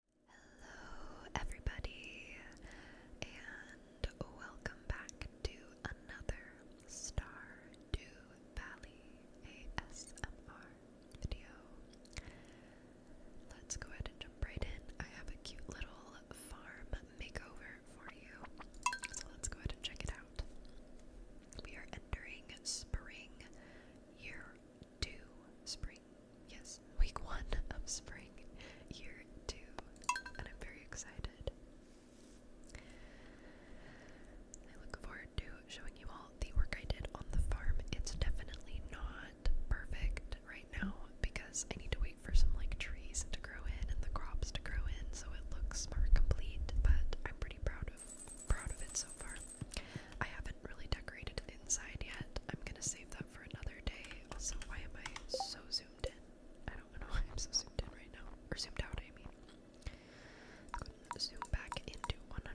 Hello, everybody, and welcome back to another Stardew Valley ASMR video. Let's go ahead and jump right in. I have a cute little farm makeover for you, so let's go ahead and check it out. We are entering spring year two. Spring Yes, week one of spring, year two, and I'm very excited. I look forward to showing you all the work I did on the farm. It's definitely not perfect right now because I need to wait for some like trees to grow in and the crops to grow in so it looks more complete, but I'm pretty proud of proud of it so far. I haven't really decorated inside yet. I'm gonna save that that for another day. Also, why am I so zoomed in? I don't know why I'm so zoomed in right now. Or zoomed out, I mean. Zoom back into 100.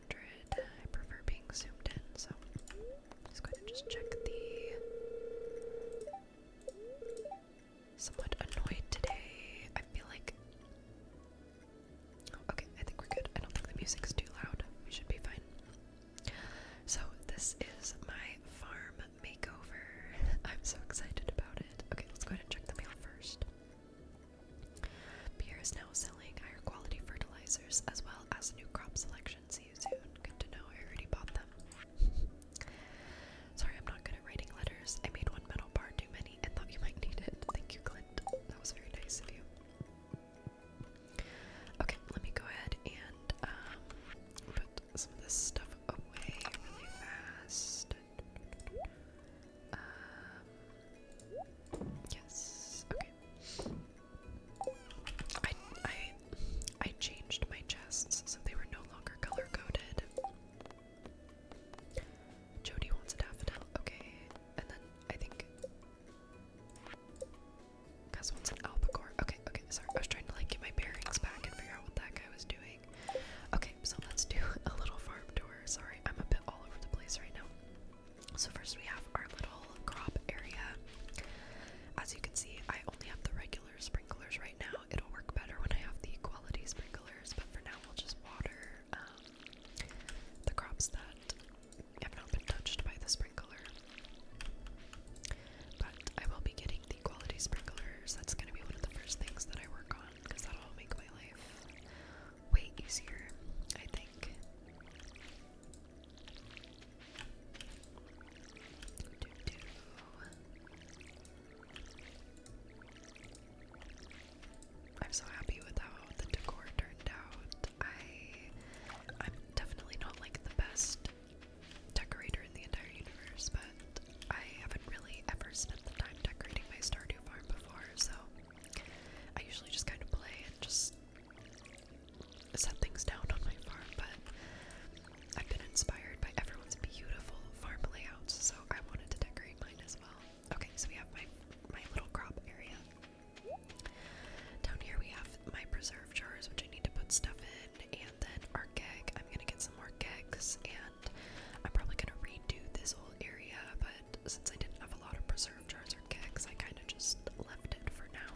I prefer being zoomed in, so I'm just going to just check the. Somewhat annoyed today. I feel like. Oh, okay, I think we're good. I don't think the music's too loud. We should be fine. So, this is my farm makeover. I'm so excited about it. Okay, let's go ahead and check the mail first. Pierre is now selling higher quality fertilizers as well as new crop selection. See you soon. Good to know. I already bought them. Sorry, I'm not good at writing letters. I made one metal bar too many and thought you might need it. Thank you, Clint. That was very nice of you. Okay, let me go ahead and um, put some of this stuff away really fast. Um, yes. Okay. I I changed my chests so they were no longer color coded. Jody wants a daffodil. Okay, and then I think Cause what's an albacore? Okay, okay, sorry. I was trying to like get my bearings back and figure out what that guy was doing. Okay, so let's do a little farm tour. Sorry, I'm a bit all over the place right now. So first we have our little crop area. As you can see, I only have the regular sprinklers right now. It'll work better when I have the quality sprinklers, but for now we'll just water um, the crops that have not been touched by the sprinkler. But I will be getting the quality sprinklers. That's going to be one of the first things that I work on because that'll make my life way easier, I think. I'm so happy with how the decor turned out. I I'm definitely not like the best decorator in the entire universe, but I haven't really ever spent the time decorating my Stardew farm before, so I usually just kind of play and just set things down on my farm, but I've been inspired by everyone's beautiful farm layouts, so I wanted to decorate mine as well. Okay, so we have my my little crop area. Down here we have my preserve jars, which I need to put stuff in, and then our keg. I'm gonna get some more kegs, and I'm probably gonna redo this whole area, but since I didn't have a lot of preserve jars or kegs, I kinda just left it for now.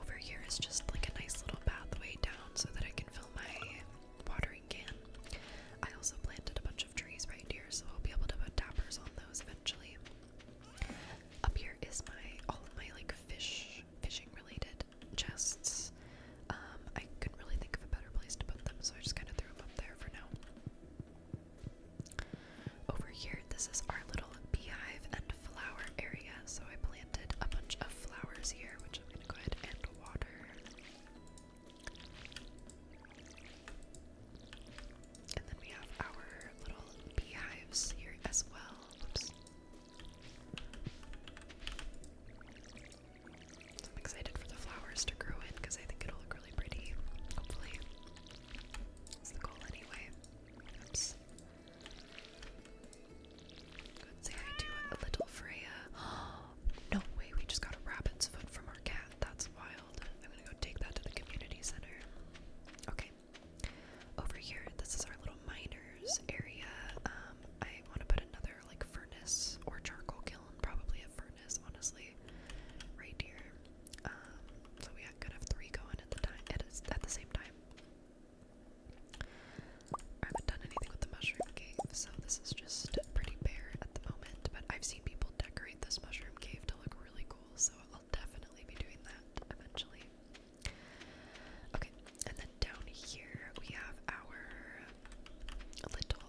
Over here is just like a nice little pathway down so that I can fill my watering can. I also planted a bunch of trees right here, so I'll be able to put tappers on those eventually. Up here is my all of my like fish fishing related chests. Um, I couldn't really think of a better place to put them, so I just kind of threw them up there for now. Over here, this is our little beehive and flower area. So I planted a bunch of flowers here, which I'm gonna go ahead and water. And then we have our little beehives here as well. I'm excited for the flowers to grow in because I think it'll look really pretty. Hopefully. That's the goal anyway. Good say I do a little Freya. no way, we just got a rabbit's foot from our cat. That's wild. I'm gonna go take that to the community center. Okay. Over here, this is our little miners area. Um, I want to put another like furnace or charcoal kiln, probably a furnace, honestly, right here. Um, so we could have three going at the time at the same time. I haven't done anything with the mushroom cave, so this is just pretty bare at the moment. But I've seen people decorate this mushroom cave to look really cool, so I'll definitely be doing that eventually. Okay, and then down here we have our little,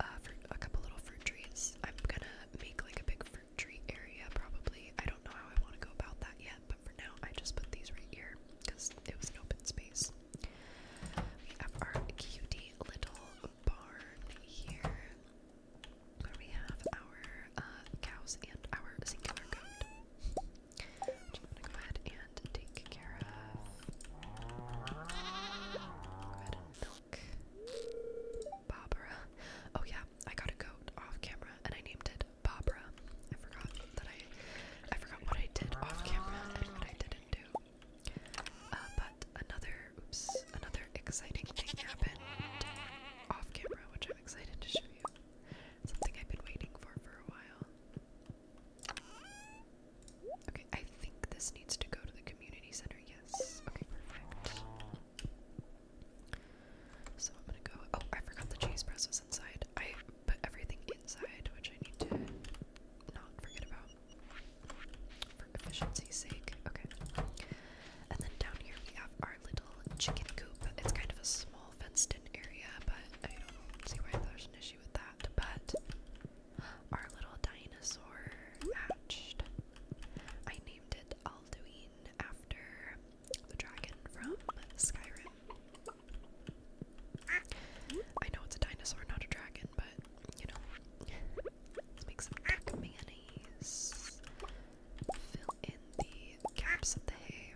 uh, a couple little fruit trees. I'm gonna make like a big fruit tree area probably. I don't know how I want to go about that yet, but for now I just put these right here because it was an open space. We have our cutie little barn here we have our uh, cows and our singular goat. Which i gonna go ahead and take care of. Go milk Barbara. Oh yeah, I got a goat off camera and I named Barbara. I forgot that I, I forgot what I did off camera and what I didn't do. Uh, but another, oops, another exciting thing happened off camera, which I'm excited to show you. Something I've been waiting for for a while. Okay, I think this needs to go to the community center. Yes. Okay, perfect. So I'm gonna go. Oh, I forgot the cheese press was inside. I put everything inside, which I need to not forget about for efficiency's sake. Okay. And then down here we have our little chicken coop. It's kind of a small fenced in area, but I don't see why there's an issue with that. But our little dinosaur hatched. I named it Alduin after the dragon from Skyrim. I know it's a dinosaur, not a dragon, but you know. Let's make some duck mayonnaise fill in the gaps of the hay.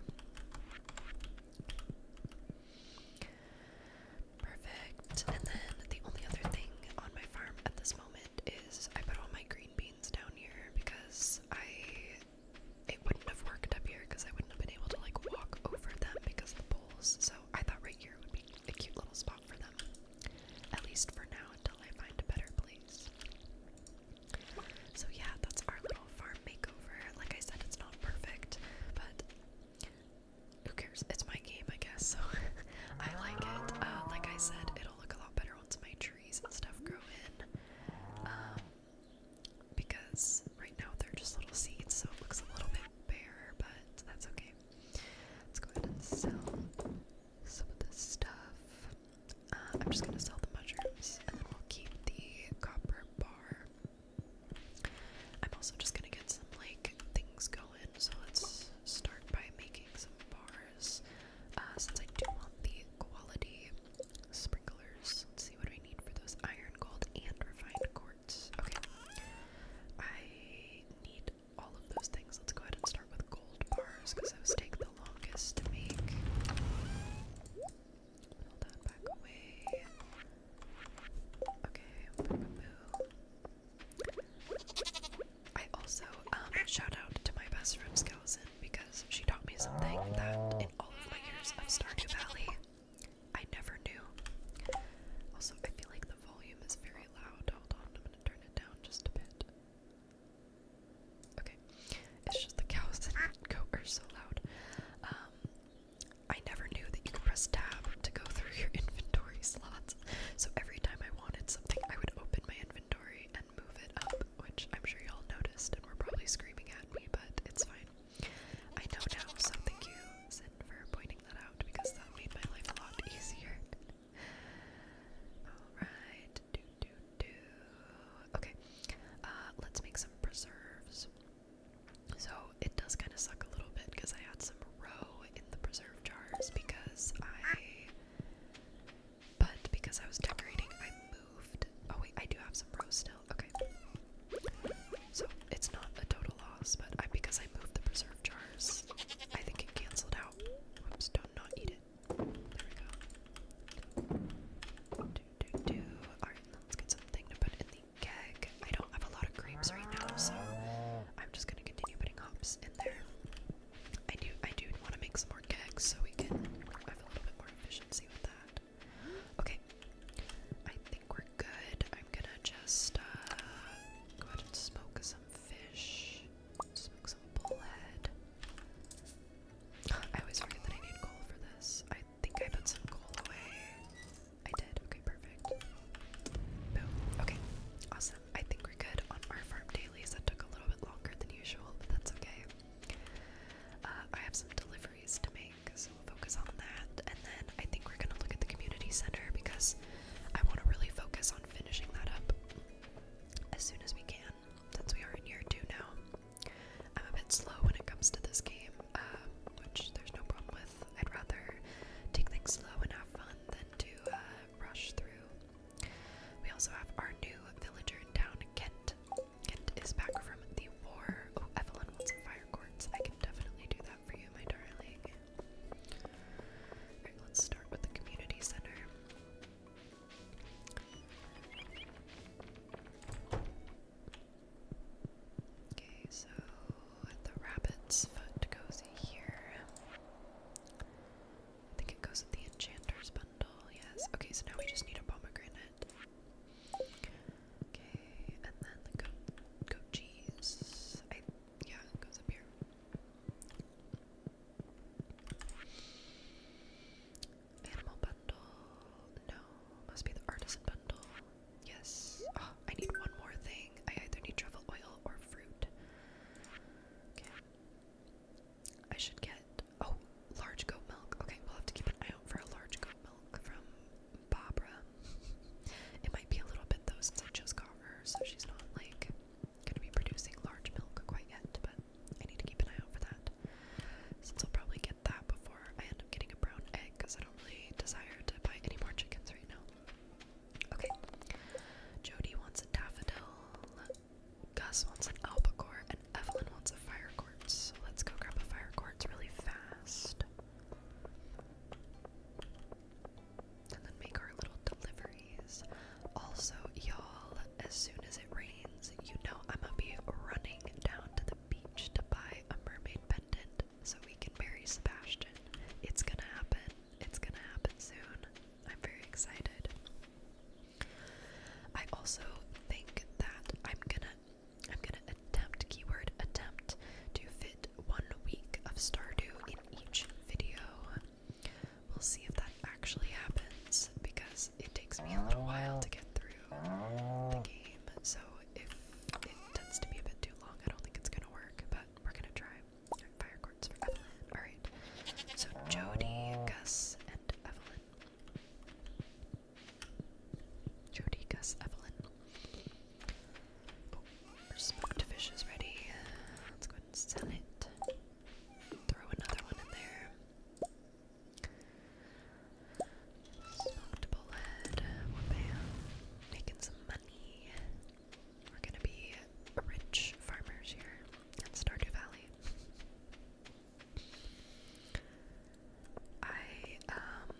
Perfect. And then the only other thing on my farm at this moment is I put all my green beans down here because I it wouldn't have worked up here because I wouldn't have been able to like walk over them because of the poles. So I thought right here would be a cute little spot for them. At least for now until I find a better place. So yeah, that's our little farm makeover. Like I said, it's not perfect, but who cares? It's my game, I guess. So I like it. Uh, like I said, it'll look a lot better once my trees and stuff grow in. Um, because right now they're just little seeds, so it looks a little bit bare, but that's okay. Let's go ahead and sell some of this stuff. Uh, I'm just gonna sell the mushrooms and then we'll keep the copper bar. I'm also just gonna get some like things going, so let's start by making some bars. Uh, since I do want the quality sprinklers, let's see what do I need for those iron, gold, and refined quartz. Okay, I need all of those things. Let's go ahead and start with gold bars because those take the longest to make. Okay, I also um shout out to my best friend Skeleton because she taught me something that in all of my years of Stardew Valley I never knew. Also, I feel like the volume is very loud. Hold on, I'm gonna turn it down just a bit. Okay, it's just the cows that goat are so loud. Um, I never knew that you could press tab to go through your inventory slots. So every time I wanted something, I would open my inventory and move it up, which I'm sure y'all noticed and were probably screaming at me, but it's fine. I know now, so thank you, for pointing that out because that made my life a lot easier. Alright, Okay, uh, let's make some preserves. So it does kind of suck a little bit because I had some roe in the preserve jars because I. But because I was decorating, I moved. Oh wait, I do have some roe still. Okay. So it's not a total loss, but I, because I moved the preserve jars, I think it canceled out. Oops, don't not eat it. There we go. Alright, let's get something to put in the keg. I don't have a lot of grapes right now, so I'm just gonna continue putting hops in there. I do I do want to make some more kegs so we can have a little bit more efficiency with that. Okay. I think we're good. I'm gonna just uh, go ahead and smoke some fish. Smoke some bullhead. I always forget that I need coal for this. I think I put some coal away. I did. Okay, perfect. Boom. Okay, awesome. I think we're good on our farm dailies. That took a little bit longer than usual, but that's okay. Uh, I have some deliveries to make, so we'll focus on that. And then I think we're gonna look at the community center because I want to really focus on finishing that up as soon as we can, since we are in year two now. I'm a bit slow when it comes to this game, um, which there's no problem with. I'd rather take things slow and have fun than to uh, rush through. We also have our new villager in town, Kent. Kent is back from the war. Oh, Evelyn wants some fire quartz. I can definitely do that for you, my darling. let's start with the community center. Okay, so the rabbit's foot goes here. I think it goes with the enchanter's bundle, yes. Okay, so now we just need a pomegranate. Okay, and then the goat, cheese. yeah, goes up here. Animal bundle. No, must be the artisan bundle. Yes. Ah, I need one more thing. I either need truffle oil or fruit. Okay. I should get. Oh, large goat milk. Okay, we'll have to keep an eye out for a large goat milk from Barbara. it might be a little bit though since I just got her, so she's not like gonna be producing large milk quite yet, but I need to keep an eye out for that. Since I'll probably get that before I end up getting a brown egg because I don't really desire to buy any more chickens right now. Okay. Jody wants a daffodil. Gus wants an albacore, and Evelyn wants a fire quartz. let's go grab a fire quartz really fast. And then make our little deliveries. Also, y'all, as soon as it rains, you know I'm gonna be running down to the beach to buy a mermaid pendant so we can marry Sebastian. It's gonna happen. It's gonna happen soon. I'm very excited. I also think that I'm gonna I'm gonna attempt keyword attempt to fit one week of Stardew in each video. We'll see if that actually happens because it takes me a little while to get through the oh. game, so if it tends to be a bit too long, I don't think it's gonna work, but we're gonna try. fire quartz Alright, so Jody, oh. Gus, and Evelyn. Jody, Gus, Evelyn. our oh, smoked fish is ready. Let's go ahead and sell it. Throw another one in there. Smoked bullet. Making some money. We're gonna be rich farmers here in Stardew Valley. I, um,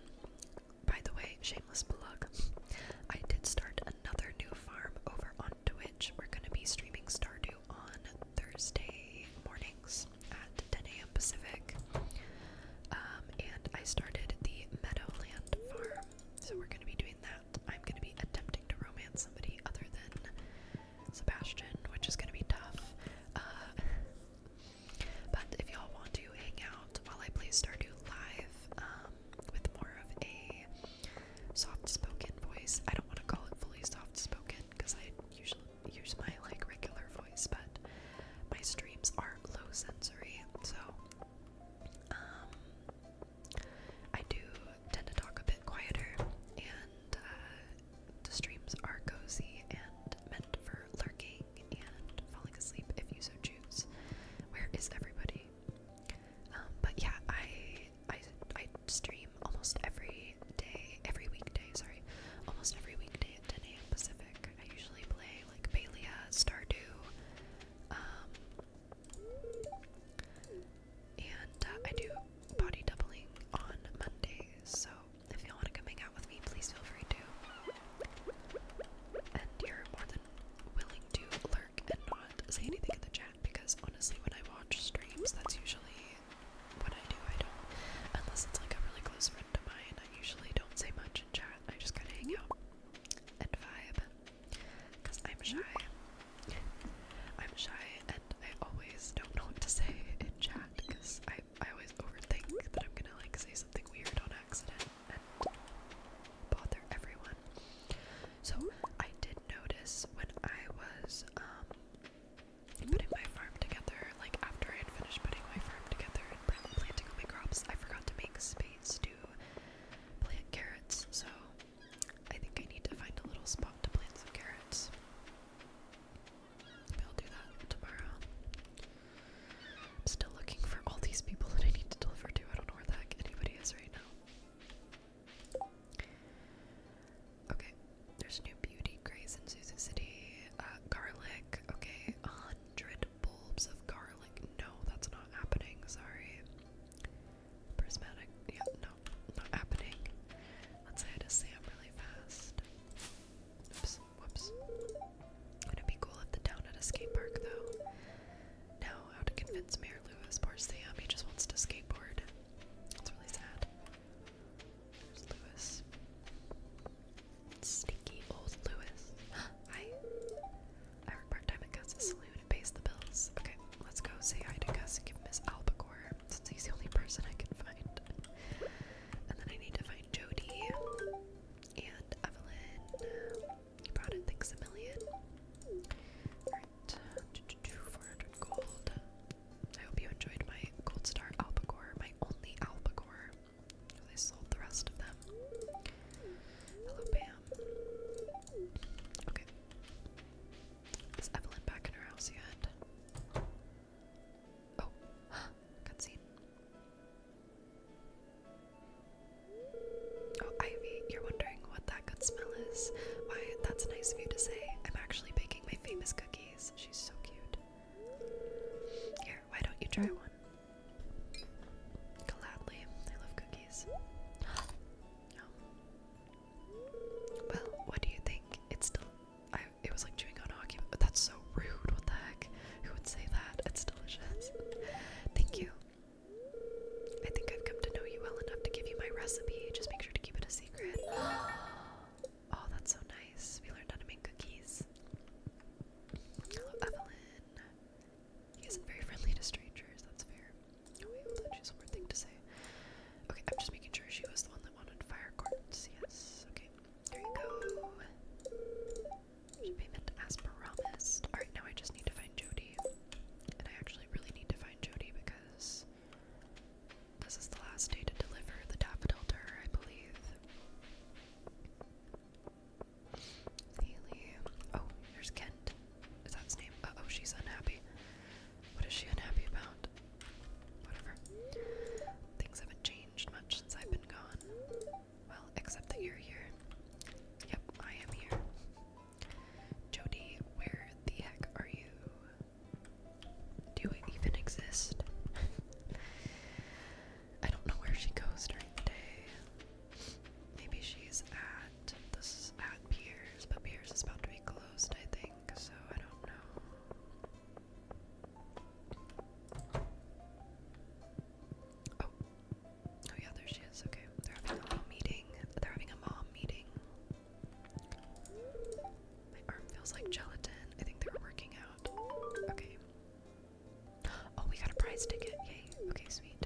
by the way, shameless plug, I did start another new farm over on Twitch. We're gonna be streaming Stardew on Thursday mornings at 10 a.m. Pacific. Um, and I started the Meadowland Farm, so we're going to be doing that. I'm going to be attempting to romance somebody other than Sebastian, which is going to be tough. Uh, but if y'all want to hang out while I play start Stardew live um, with more of a soft spoken voice, I don't want to call it fully soft spoken because I usually use my like regular voice, but my streams are low sensory, so um, I do tend to talk a bit quieter and uh, the streams are cozy and meant for lurking and falling asleep if you so choose. Where is everybody? Um, but yeah, I, I I stream almost every day, every weekday. Sorry, almost every weekday 10 a.m. Pacific. I usually play like Palia, Stardew, um, and uh, I do body doubling on Mondays. So if you want to come hang out with me, please feel free to. And you're more than willing to lurk and not say anything in the chat because honestly, when I watch streams, that's usually what I do. I don't, unless it's like a really close friend one to mine. I usually don't say much in chat. I just kind of hang out and vibe because I'm shy. I'm shy and I always don't know what to say in chat because I, I always overthink that I'm gonna like say something weird on accident and bother everyone. So I did notice when I was um putting my farm together, like after I had finished putting my farm together and planting all my crops, I forgot to make space to plant carrots, so I think I need to find a little spot to plant some carrots. Maybe I'll do that tomorrow. I'm still looking for all these people that I need to deliver to. I don't know where the heck anybody is right now. Okay, there's a new Beauty, Grace, and Susan City. Uh, garlic. Okay, a hundred bulbs of garlic. No, that's not happening. Sorry. Prismatic. Yeah, no, not happening. Let's say I'm really fast. Oops, whoops. would it be cool if the town had a skate park, though? Now, how to convince Mayor Lewis, poor Sam, he just wants to skateboard. That's really sad. There's Lewis. Sneaky old Lewis. Hi. I work part time at Gus's saloon and pays the bills. Okay, let's go say hi to Gus and give him his since he's the only person I can find. And then I need to find Jody and Evelyn. You brought in things a million. Alright, 400 gold. I hope you enjoyed my gold star albacore, my only albacore. They sold the rest of them. Hello, Pam. Okay. Is Evelyn back in her house yet? Oh, cutscene. Oh, Ivy, you're wondering what that good smell is? Why, that's nice of you to say. I'm actually baking my famous cookies. She's so cute. Here, why don't you try one? Gladly, I love cookies. Well, what do you think? It's still. it was like chewing on hockey, but that's so rude. What the heck? Who would say that? It's delicious. Thank you. I think I've come to know you well enough to give you my recipe. Just make sure to keep it a secret. Oh, that's so nice. We learned how to make cookies. Hello, Evelyn. He isn't very friendly to strangers, that's fair. Oh, wait, hold on, she has one more thing to say. Okay, I'm just making sure she was the one that wanted fire cords, yes. Okay, there you go. Payment as promised. Alright, now I just need to find Jody. And I actually really need to find Jody because this is the last day to deliver the daffodil to her, I believe. Haley. Oh, here's Kent. Is that his name? Uh oh, she's unhappy. What is she unhappy about? Whatever. Things haven't changed much since I've been gone. Well, except that you're here. Yep, I am here. Jody, where the heck are you? Do you even exist? I don't know where she goes during the day. Maybe she's at this is at Piers, but Piers is about to be closed, I think, so I don't know. Oh. oh yeah, there she is. Okay. They're having a mom meeting. They're having a mom meeting. My arm feels like gelatin. I think they were working out. Okay. Oh, we got a prize ticket. Yay. Okay, sweet.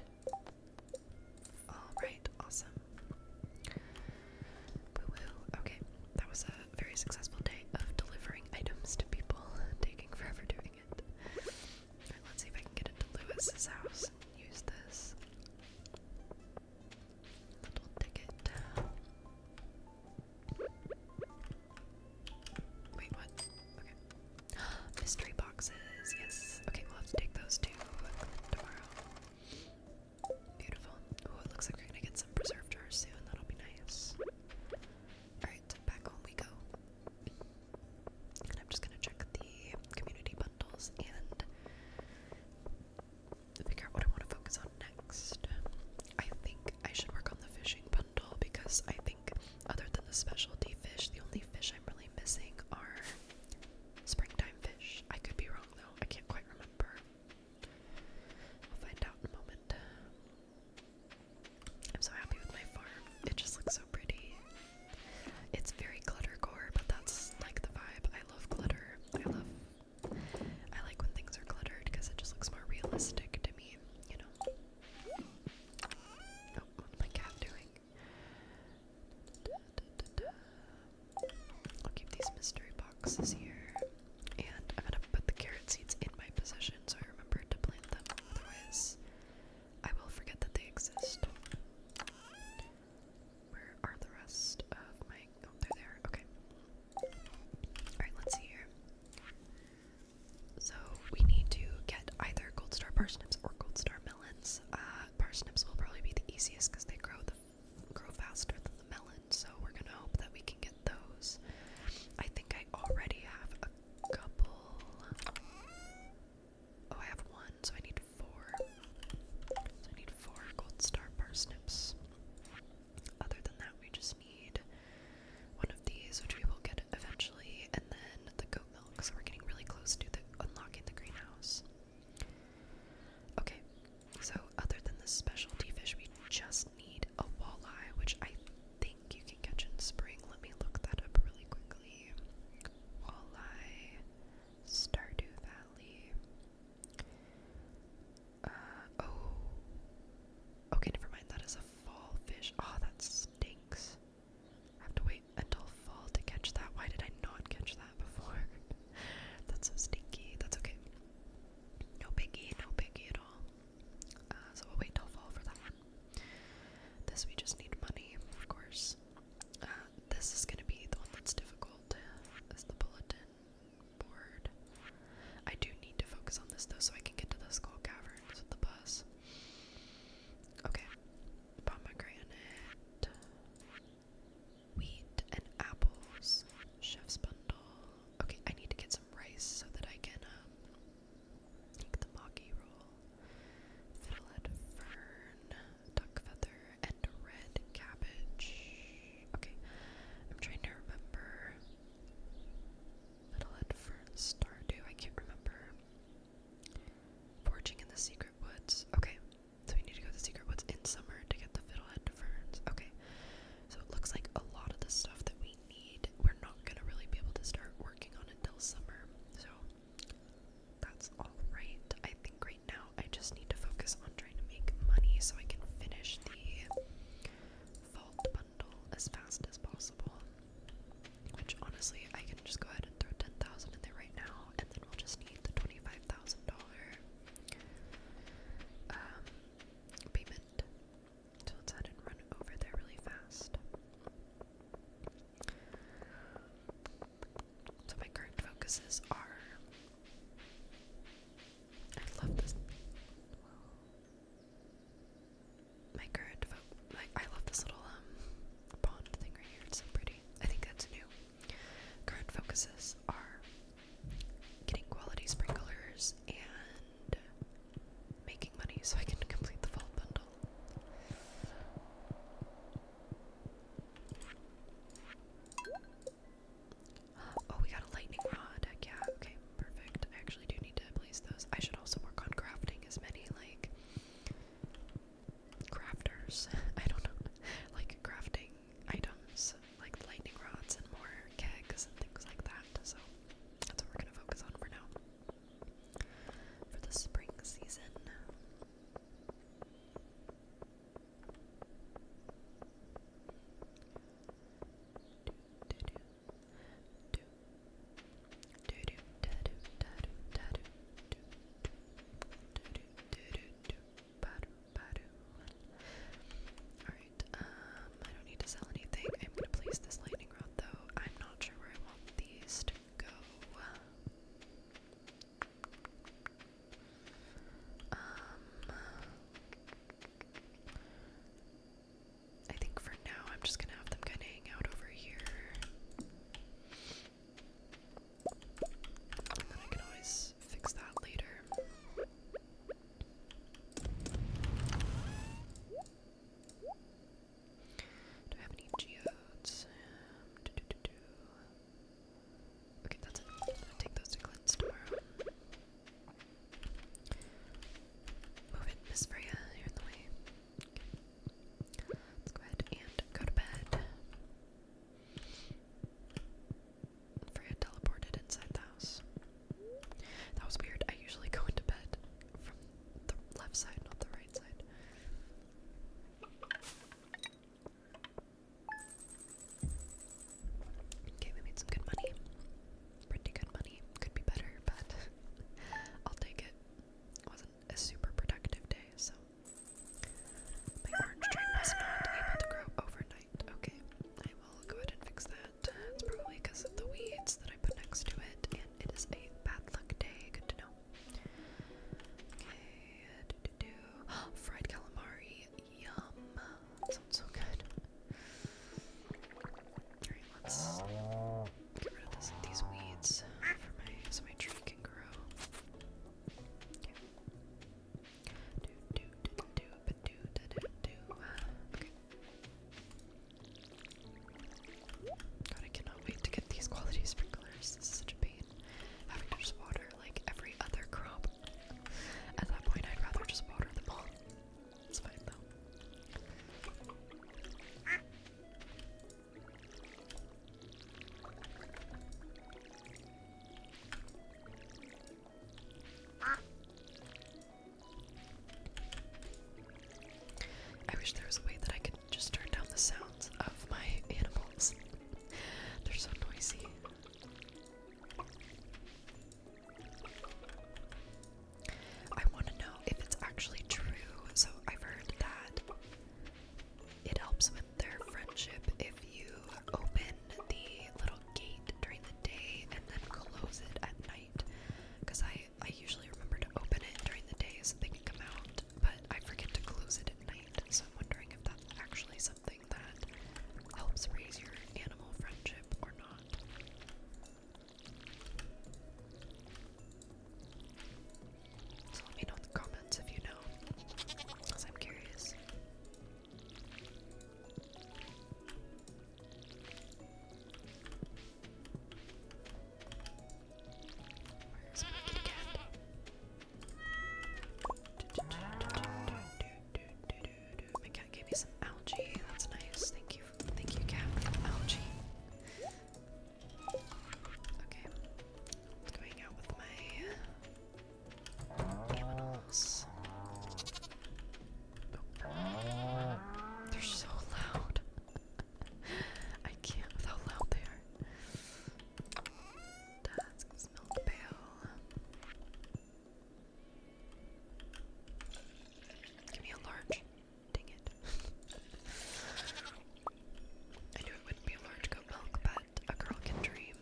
Alright, awesome. woo. Okay, that was a very successful day of delivering items to people, taking forever doing it. let's see if I can get into Lewis's house and use this little ticket. Wait, what? Okay. Mystery boxes, yes. Okay, we'll have to take those too tomorrow. Beautiful. Oh, it looks like we're gonna get some preserved jars soon. That'll be nice. Alright, back home we go. And I'm just gonna check the community bundles and figure out what I want to focus on next. I think I should work on the fishing bundle because I think other than the specialty fish, the only fish I'm really missing are springtime fish. I could be wrong though, I can't quite remember. I'll find out in a moment. I'm so happy with my farm, it just looks so pretty. It's very cluttercore, but that's like the vibe. I love clutter. I love. I like when things are cluttered because it just looks more realistic to me, you know what's my cat doing? I'll keep these mystery boxes here. And I'm gonna put the carrot seeds in my possession so I remember to plant them. Otherwise, I will forget that they exist. Where are the rest of my. Oh, they're there. Okay. Alright, let's see here. So we need to get either gold star parsnips or gold star melons. Uh, parsnips will probably be the easiest because they grow grow faster than the melon. So we're gonna hope that we can get those. I think I already have a couple. Oh, I have one, so I need four. So I need four gold star parsnips. Other than that, we just need one of these, which we will get eventually, and then the goat milk. So we're getting really close to the unlocking the greenhouse. Okay, so other than the specialty fish, we just need a walleye, which I think you can catch in spring. Let me look that up really quickly. Walleye, Stardew Valley. Uh, oh, Okay, never mind. That is a fall fish. Oh, that stinks. I have to wait until fall to catch that. Why did I not catch that before? That's so stinky. That's okay. No pinky, no pinky at all. Uh, so we'll wait till fall for that. This we just need money, of course. Uh, this is gonna be the one that's difficult. Is the bulletin board? I do need to focus on this though, so I can get to the school caverns with the bus. Okay. Pomegranate, wheat, and apples. Chef's bundle. Okay, I need to get some rice so that I can um, make the maki roll. Fiddlehead fern, duck feather, and red cabbage. Okay, I'm trying to remember. Fiddlehead fern, stardew. I can't remember. Forging in the secret woods. Okay, so we need to go to the secret woods in summer to get the fiddlehead ferns. Okay, so it looks like a lot of the stuff that we need, we're not gonna really be able to start working on until summer. So that's alright. I think right now I just need to focus on trying to make money so I can finish the. Vault bundle as fast as possible. Which honestly, I can just go ahead and throw ten thousand in there right now, and then we'll just need the twenty-five thousand dollar um, payment. So let and run over there really fast. So my current focuses are. I love this my current like I love this little um pond thing right here. It's so pretty. I think that's new. Current focuses are getting quality sprinklers and making money so I can complete the fall bundle. Uh, oh, we got a lightning rod. Yeah, okay, perfect. I actually do need to those. I should also work on crafting as many like crafters. I don't know, like crafting items, like lightning rods and more kegs and things like that. So that's what we're gonna focus on for now for the spring season do do do da do da do da do do do do do do do badu badu. All right, um, I don't need to sell anything. I'm gonna place this lightning rod though. I'm not sure where I want these to go. Um. I think for now I'm just gonna have them kind of hang out over here. And then I can always fix that later. Do I have any geodes? Okay, that's take those to cleanse tomorrow. Move it, Miss Freya, you're in the way. Let's go ahead and go to bed. Freya teleported inside the house. That was weird. I usually go into bed from the left side, not the right side. Okay, we made some good money. Pretty good money. Could be better, but I'll take it. Wasn't a super productive day, so my orange tree was not able to grow overnight. Okay, I will go ahead and fix that. It's probably because of the weeds that I put next to it, and it is a bad luck day. Good to know. Okay, do do do. Fried calamari, yum. That sounds so good. Alright, let Get rid of these weeds so my tree can grow. God, I cannot wait to get these quality sprinklers. This is such a pain. Having to just water like every other crop. At that point, I'd rather just water them all. It's fine though. I wish there was a way that I could just turn down the sounds of my animals. They're so noisy. I want to know if it's actually true, so I've heard that it helps with their friendship if you open the little gate during the day and then close it at night. Because I, I usually remember to open it during the day so they can come out, but I forget to close it at night. So I'm wondering if that's actually something that helps raise your animal friendship or not. So let me know in the comments if you know, I'm curious. Where's my kitty cat? My cat gave me some algae. That's nice. Thank you, thank you, cat, algae. Okay. going out with my animals? They're so loud. I can't how loud they are. Task's milk pail. Give me a large. Dang it. I knew it wouldn't be a large goat milk, but a girl can dream.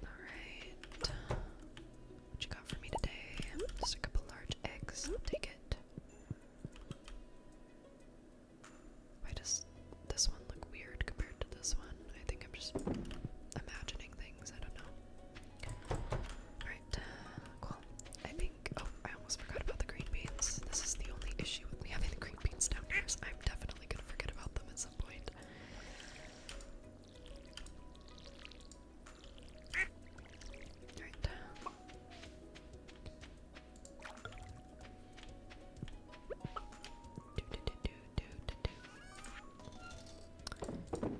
Alright. What you got for me today? Stick up a large X. Take it. Why does this one look weird compared to this one? I think I'm just imagining things. I don't know. Alright, uh, cool. I think. Oh, I almost forgot about the green beans. This is the only issue with me having the green beans down here. So I'm definitely gonna forget about them at some point. Right Do, do, do, do, do, do,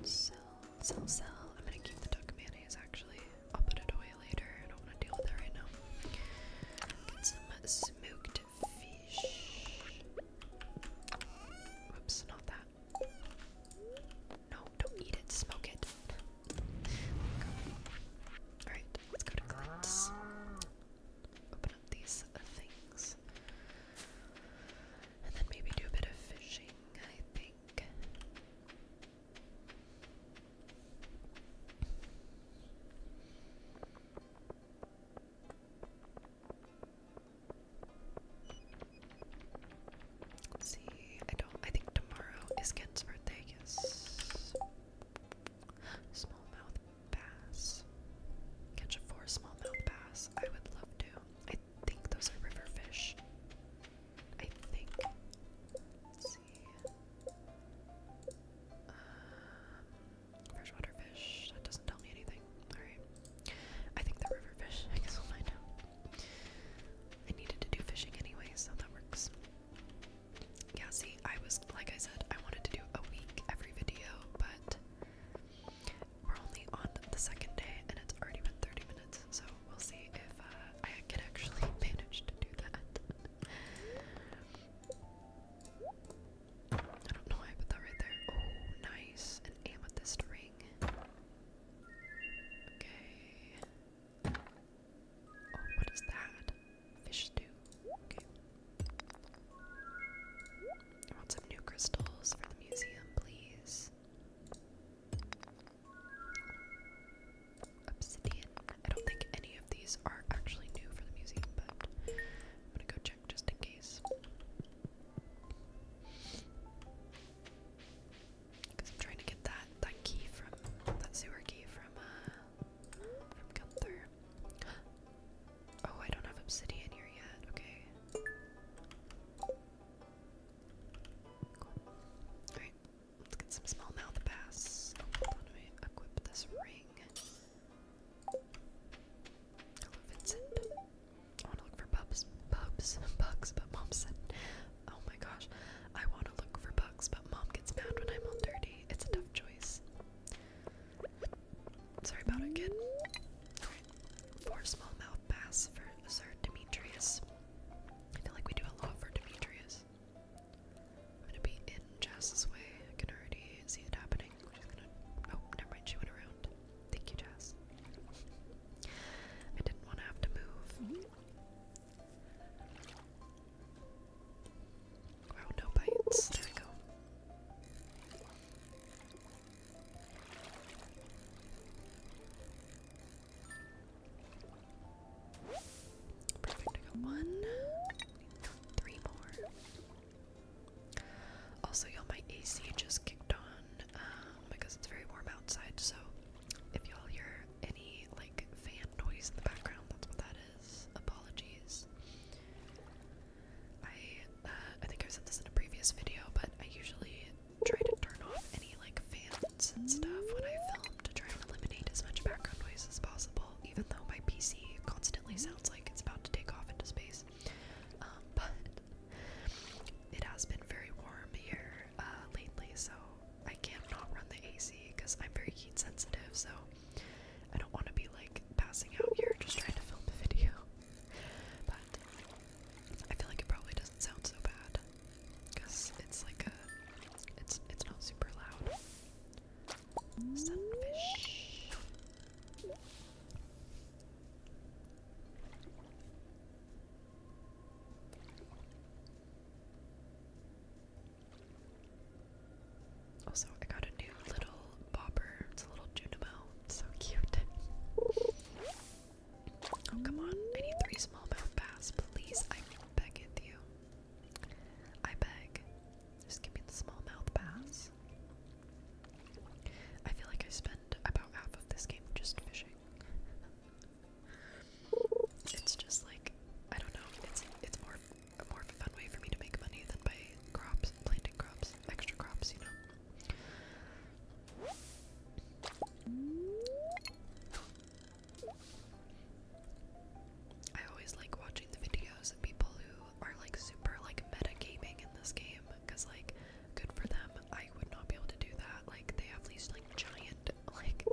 Sell, sell, sell. I'm gonna keep the duck Is actually. I'll put it away later. I don't want to deal with it right now. Get some smoked fish. Whoops, not that. No, don't eat it. Smoke it. Alright, let's go to Glint's. Open up these things. And then maybe do a bit of fishing, I think. Let's see. I don't. I think tomorrow is Ken's birthday. Yes. Smallmouth bass. Catch a four smallmouth bass. I would love to. I think those are river fish. I think. Let's see. Uh, freshwater fish. That doesn't tell me anything. Alright. I think the river fish. I guess we'll find out. I needed to do fishing anyway, so that works. Yeah, see, I was, like I said, I wanted to do a week every video, but we're only on the second day and it's already been 30 minutes, so we'll see if uh, I can actually manage to do that. I don't know why I put that right there. Oh, nice. An amethyst ring. Okay. Oh, what is that? Fish stew. Okay. want some new crystals for the museum, please. Obsidian. I don't think any of these are actually new for the museum, but I'm gonna go check just in case. Because I'm trying to get that that key from that sewer key from uh from Gunther. oh, I don't have obsidian here yet. Okay. Cool. Alright, let's get some small mouth bass. Oh, hold Equip this ring. Hello, Vincent. I want to look for pups, pups, bugs, but mom said, oh my gosh, I want to look for bugs, but mom gets mad when I'm all dirty. It's a tough choice. Sorry about it, kid. Alright, four small bass for Sir Demetrius. I feel like we do a lot for Demetrius. I'm gonna be in Jazz's way. I can already see it happening. Oh, never mind. She went around. Thank you, Jazz. I didn't want to have to move. Wow, no bites. There we go. one. Three more. Also, y'all, my AC just kicked on. Um, because it's very warm outside. So if y'all hear any like fan noise in the background, that's what that is. Apologies. I uh, I think I said this in a previous video, but I usually try to turn off any like fans and stuff when I film to try and eliminate as much background noise as possible. Even though my PC constantly sounds like it's about to take off into space, um, but it has been very warm here uh, lately, so I can't not run the AC because I'm very heat sensitive, so I don't want to be like passing out here just trying to film the video. but I feel like it probably doesn't sound so bad because it's like a, it's it's not super loud. Sunfish. Also, I got a new little bobber. It's a little Junimo. so cute. Oh, come on. I need three smallmouth bass, please. I beg with you. I beg. Just give me the smallmouth bass. I feel like I spend about half of this game just fishing. It's just like I don't know. It's it's more a fun way for me to make money than by crops, planting crops, extra crops, you know. I always like watching the videos of people who are like super like meta gaming in this game because like good for them I would not be able to do that. Like they have these like giant like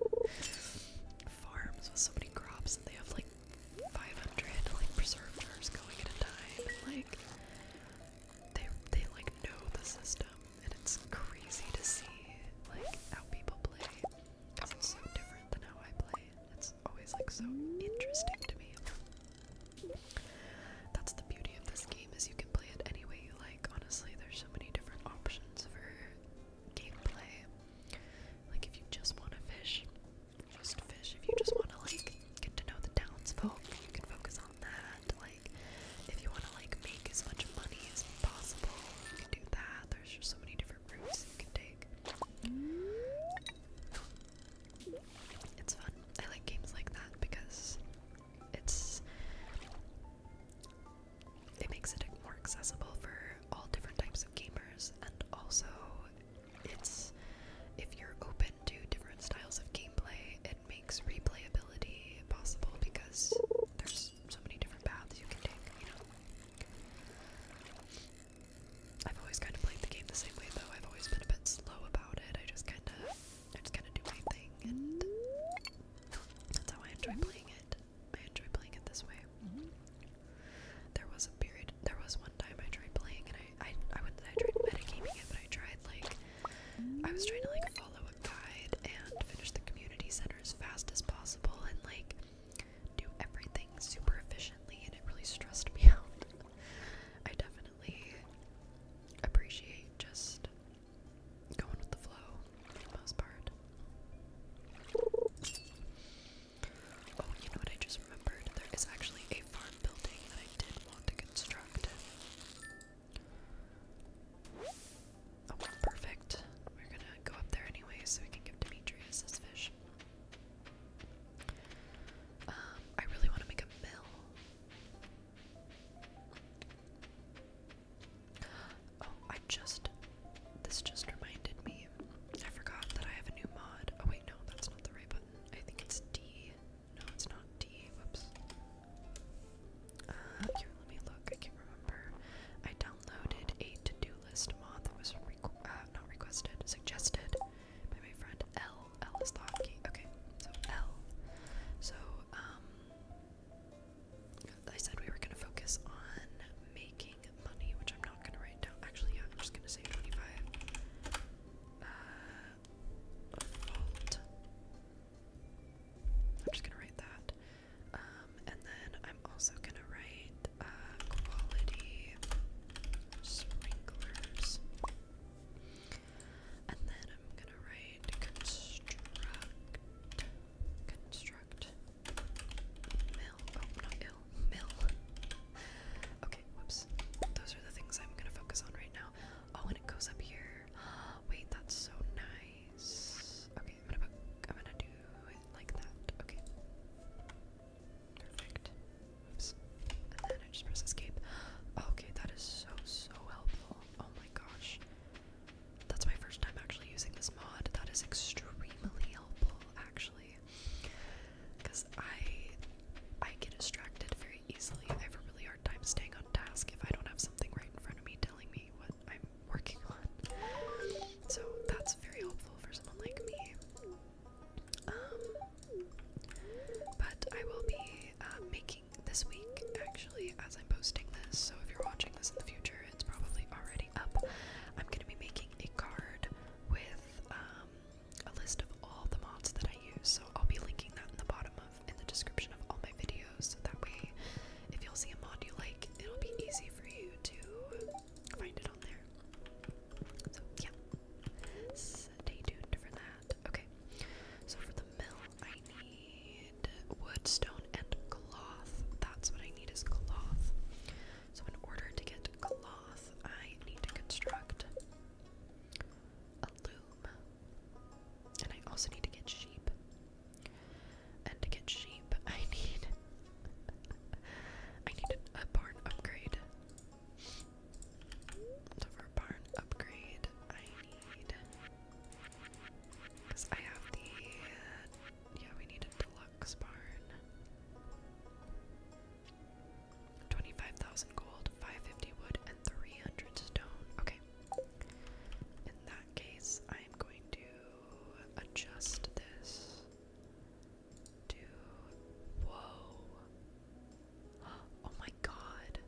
farms with so many crops, and they have like 500 like preservers going at a time. And, like they they like know the system, and it's crazy to see like how people play. Cause it's so different than how I play. It's always like so interesting to me. That's the beauty of this game is you can play it any way you like. Honestly, there's so many different options for gameplay. Like if you just want to fish, just fish. If you just want to like get to know the townsfolk, you can focus on that. Like if you want to like make as much money as possible, you can do that. There's just so many different routes you can take. It's fun. I like games like that because it's it makes it more accessible for all different types of gamers, and also it's if you're open to different styles of gameplay, it makes replayability possible because there's so many different paths you can take, you know. I've always kind of played the game the same way though. I've always been a bit slow about it. I just kind of I just kind of do my thing and that's how I enjoy playing it. I enjoy playing it this way. Mm-hmm. There was a period, there was one time I tried playing and I, I, I wouldn't I tried metagaming it, but I tried like, I was trying to like follow a guide and finish the community center as fast as possible and like do everything super efficiently and it really stressed me out. I definitely appreciate just going with the flow for the most part. Oh, you know what I just remembered? There is actually a farm building that I did want to construct. Oh, perfect. We're gonna go up there anyway so we can give Demetrius his fish. Um, I really want to make a mill. Oh, I just. This just reminded me. I forgot that I have a new mod. Oh, wait, no, that's not the right button. I think it's D. No, it's not D. Whoops. Uh, here, let me look. I can't remember. I downloaded a to do list mod that was uh, not requested, suggested by my friend L. L is the hotkey. Okay, so L. So, um. I said we were gonna focus on making money, which I'm not gonna write down. Actually, yeah, I'm just gonna say 25. Uh, I'm just gonna write that. Um, and then I'm also gonna write uh, quality sprinklers. And then I'm gonna write construct. Construct. Mill. Oh, not ill. Mill. Okay, whoops. Those are the things I'm gonna focus on right now. Oh, and it goes up here. Wait, that's so nice. Okay, I'm gonna do it like that. Okay. Perfect. Oops. And then I just press escape. Okay, that is so so helpful. Oh my gosh. That's my first time actually using this mod. That is extremely helpful, actually, because I I get distracted very easily. I have a really hard time staying on task if I don't have something right in front of me telling me what I'm working on. So that's very helpful for someone like me. Um, but I will be uh, making this week, actually, as I'm posting this. So if you're watching this in the future, it's probably already up. I'm gonna be making a card with um, a list of all the mods that I use, so I'll be linking that in the bottom of in the description of all my videos. So that way, if you'll see a mod you like, it'll be easy for you to find it on there. So yeah, stay tuned for that. Okay, so for the mill, I need. Woodstone and cloth. That's what I need is cloth. So in order to get cloth, I need to construct a loom. And I also need to get sheep. And to get sheep, I need I need a barn upgrade. So for barn upgrade, I need because I have the yeah, we need a deluxe barn. 25,000 gold, 550 wood, and 300 stone. Okay. In that case, I'm going to adjust this Whoa. Oh my god.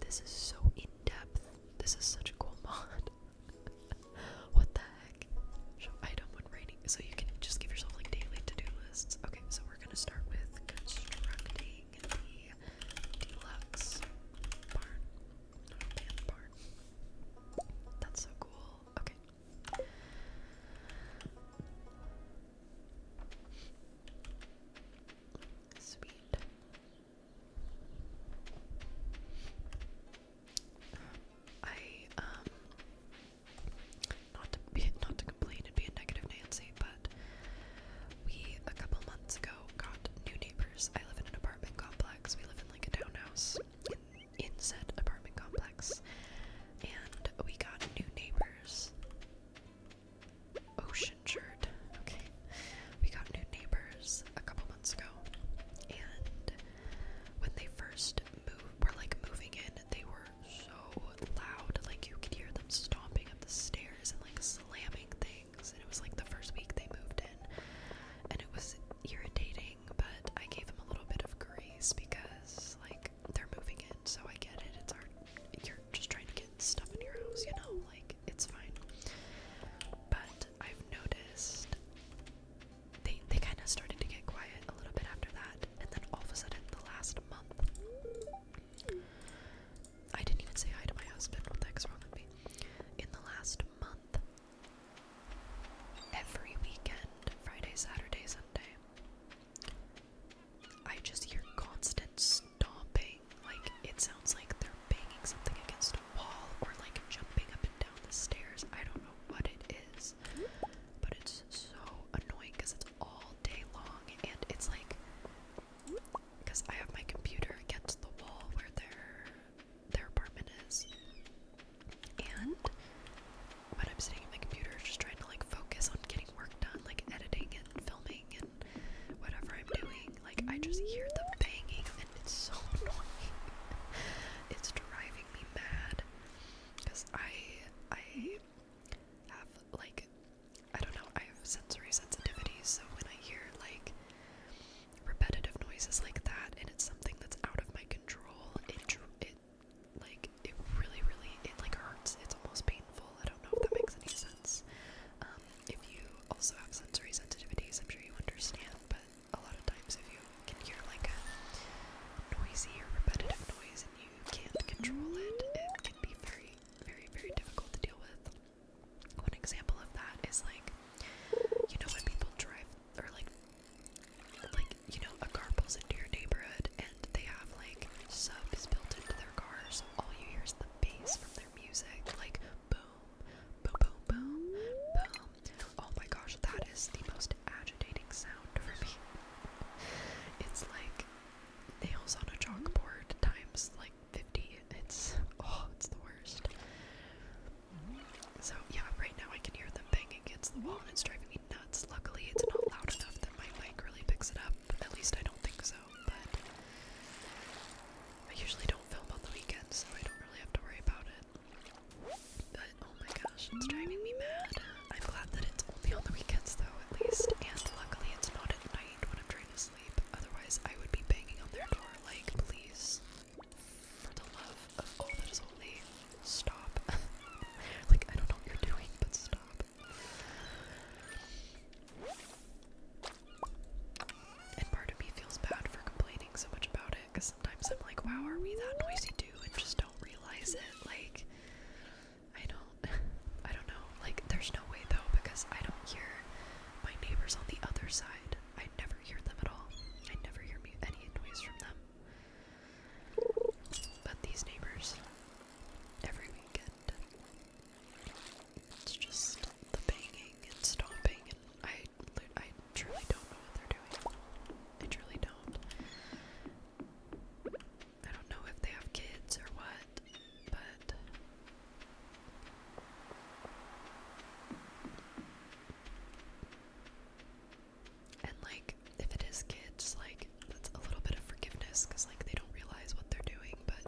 This is so in depth. This is such a cool mod. what the heck? item when raining. So you can just give yourself like daily to do lists. Okay, so we're gonna start with constructing the deluxe barn. That's so cool. Okay. Sweet. I um not to be not to complain and be a negative Nancy, but we a couple months ago got new neighbors. I live in an apartment complex. We live in like a townhouse in, said apartment complex, and we got new neighbors. Ocean shirt. Okay, we got new neighbors, a couple months ago, and when they first moved, were like moving in, they were so loud, like you could hear them stomping up the stairs and like slamming things. And it was like the first week they moved in, and it was irritating. But I gave them a little bit of grace because like they're moving in, so I get it. It's hard. You're just trying to get stuff in your house, you know, like it's fine. But I've noticed they they kind of started to get quiet a little bit after that, and then all of a sudden, the last month, I didn't even say hi to my husband. What the heck's wrong with me? In the last month, every weekend, Friday, Saturday, Sunday, I just hear constant stomping. Like it sounds like they're banging something against or like jumping up and down the stairs. I don't know what it is, but it's so annoying because it's all day long and it's like because I have my computer against the wall where their their apartment is. And when I'm sitting at my computer just trying to like focus on getting work done, like editing and filming and whatever I'm doing, like I just hear the banging and it's so annoying. it's driving me mad because I I have like I don't know I have sensory sensitivities so when I hear like repetitive noises like that and it's something that's out of my control it it like it really really it like hurts it's almost painful I don't know if that makes any sense um, if you also have sensory sensitivities I'm sure you understand but a lot of times if you can hear like a noisy or repetitive noise and you can't control it, it can be very, very, very difficult to deal with. One example of that is like, you know when people drive, or like, like you know a car pulls into your neighborhood and they have like subs built into their cars, so all you hear is the bass from their music, like boom, boom, boom, boom, boom. Oh my gosh, that is the most agitating sound for me. It's like nails on a chalkboard times like 50. It's oh, it's the worst. So yeah, right now I can hear them banging against the wall and it's driving me nuts. Luckily, it's not loud enough that my mic really picks it up. At least I don't think so. But I usually don't film on the weekends, so I don't really have to worry about it. But oh my gosh, it's driving me mad. I'm glad that it's only on the weekends though, at least. And luckily it's not at night when I'm trying to sleep. Otherwise I would be banging on their door like, please, for the love of all that is holy, stop. like I don't know what you're doing, but stop. And part of me feels bad for complaining so much about because sometimes I'm like, wow, are we that noisy too? And just don't realize it. Like, I don't, I don't know. Like, there's no way though because I don't hear my neighbors on the other side. I never hear them at all. I never hear any noise from them. But these neighbors, every weekend, it's just the banging and stomping, and I, I truly don't know what they're doing. I truly don't. I don't know if they have kids or what, but and like if it is kids, like that's a little bit of forgiveness because like they don't realize what they're doing, but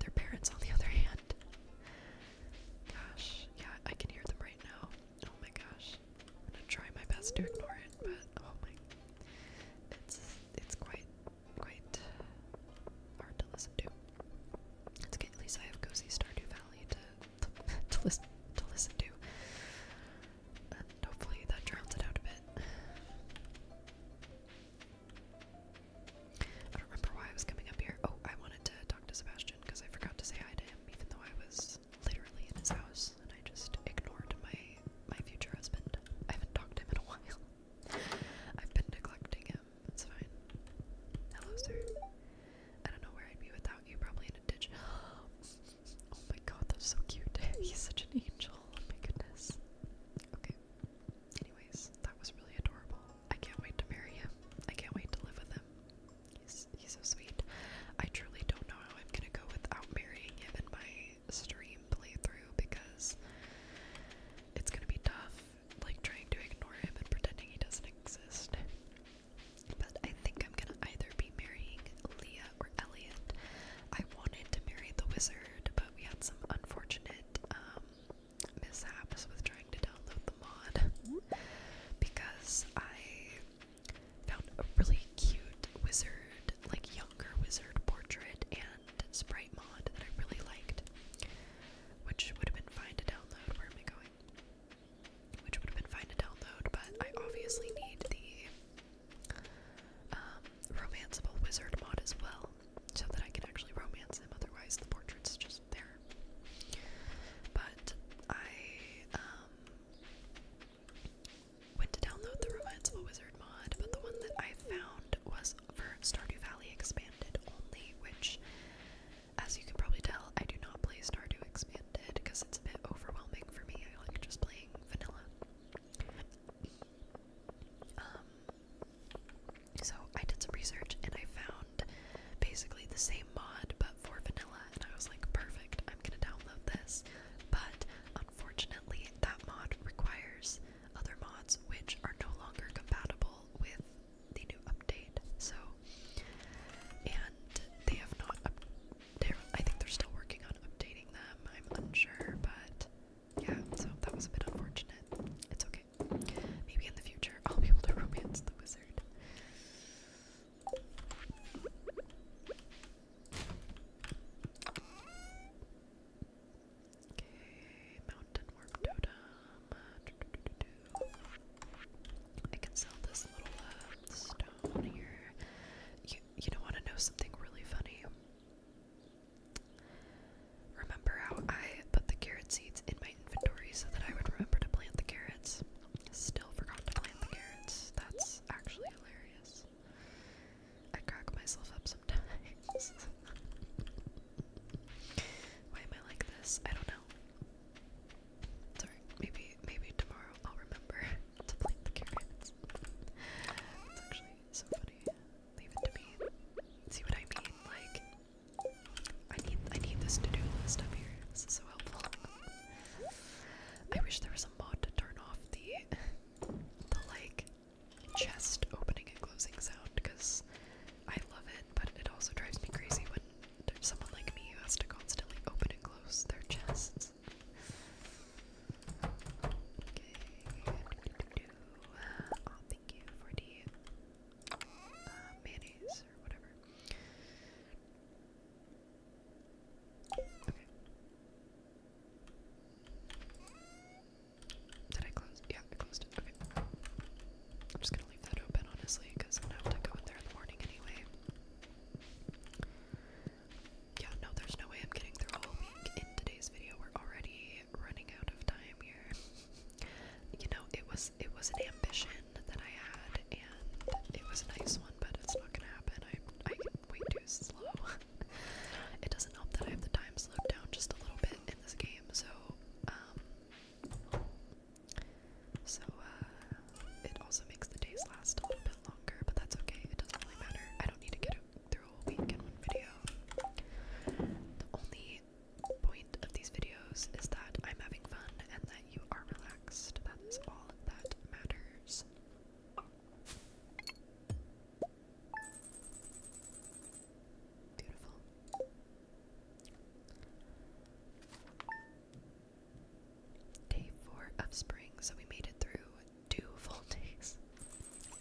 their parents on the other hand. Gosh, yeah, I can hear them right now. Oh my gosh. I'm gonna try my best to ignore it, but oh my it's it's quite quite hard to listen to. It's good at least I have cozy Stardew Valley to to, to listen to listen to. And hopefully that drowns it out a bit. I don't remember why I was coming up here. Oh, I wanted to talk to Sebastian because I forgot to say hi to him, even though I was literally in his house, and I just ignored my my future husband. I haven't talked to him in a while. I've been neglecting him. That's fine. Hello, sir. I don't know where I'd be without you. Probably in a ditch. Oh my god, that's so cute. He's such an angel. Oh my goodness. Okay. Anyways, that was really adorable. I can't wait to marry him. I can't wait to live with him. He's so sweet. I truly don't know how I'm gonna go without marrying him in my stream playthrough because it's gonna be tough, like trying to ignore him and pretending he doesn't exist. But I think I'm gonna either be marrying Leah or Elliot. I wanted to marry the wizard, but we had some unfortunate um, mishaps with trying to download the mod mm-hmm. because I Found a really cute wizard, like younger wizard portrait and sprite mod that I really liked. Which would have been fine to download. Where am I going? Which would have been fine to download, but I obviously need the um, romanceable wizard mod as well, so that I can actually romance him. Otherwise, the portrait's just there. But I um, Went to download the Romanceful Wizard mod, but the one that I found was for Stardew Valley Expanded only, which, as you can probably tell, I do not play Stardew Expanded because it's a bit overwhelming for me. I like just playing vanilla. Um, so I did some research and I found basically the same mod but for vanilla I was like, perfect, I'm gonna download this. But unfortunately, that mod requires other mods which are no longer compatible with the new update. So, and they have not. Up they're, I think they're still working on updating them. I'm unsure, but yeah. So that was a bit unfortunate. It's okay. Maybe in the future I'll be able to romance the wizard. Okay, mountain worm I can sell this little uh, stone here. You you don't want to know something really funny. Remember how I put the carrot seeds in my inventory so that I would remember to plant the carrots? Still forgot to plant the carrots. That's actually hilarious. I crack myself up sometimes. Why am I like this? I don't know. Sorry, maybe maybe tomorrow I'll remember to plant the carrots. It's actually so funny. Leave it to me. See what I mean? Like I need I need this to-do list up here. This is so helpful. I wish there was a mod to turn off the the like chest opening and closing sound because I love it, but it also drives me crazy when there's someone like me who has to constantly open and close their chests. Oh, thank you for the uh, mayonnaise or whatever. Did I close? Yeah, closed Okay. I'm just gonna leave that open, honestly, because I'm gonna have to go in there in the morning anyway. Yeah, no, there's no way I'm getting through a week in today's video. We're already running out of time here. you know, it was it was an ambition that I had, it was a nice one, but it's not gonna happen. I'm I can way too slow. it doesn't help that I have the time slowed down just a little bit in this game, so um so uh it also makes the days last a little bit longer, but that's okay. It doesn't really matter. I don't need to get through a week in one video. The only point of these videos is that I'm having fun and that you are relaxed. That is all that matters. Beautiful. Day four of spring, so we made it through two full days.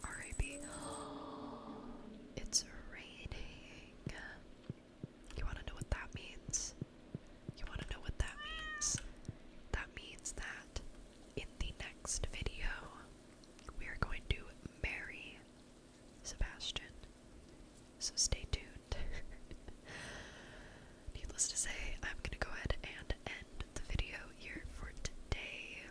R.I.P. It's raining. You want to know what that means? You want to know what that means? That means that in the next video, we are going to marry Sebastian. So stay tuned. Needless to say, I'm going to go ahead and end the video here for today.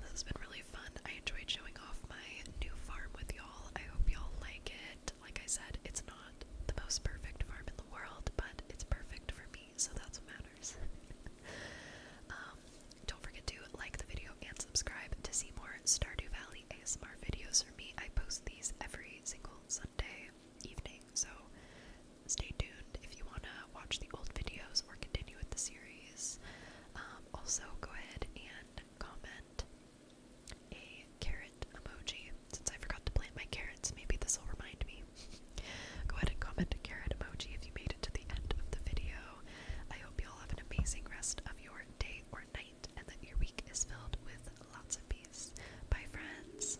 This has been really fun. I enjoyed showing off my new farm with y'all. I hope y'all like it like I said, it's not the most perfect farm in the world, but it's perfect for me, so that's what matters. Um, don't forget to like the video and subscribe to see more Stardew Valley ASMR videos from me. I post these every single Sunday evening, so stay tuned if you want to watch the old videos or continue with the series. Um, also, go ahead and comment a carrot emoji. Since I forgot to plant my carrots, maybe this will remind me. Go ahead and comment a carrot emoji if you made it to the end of the video. I hope you all have an amazing rest of your day or night and that your week is filled with lots of peace. Bye, friends.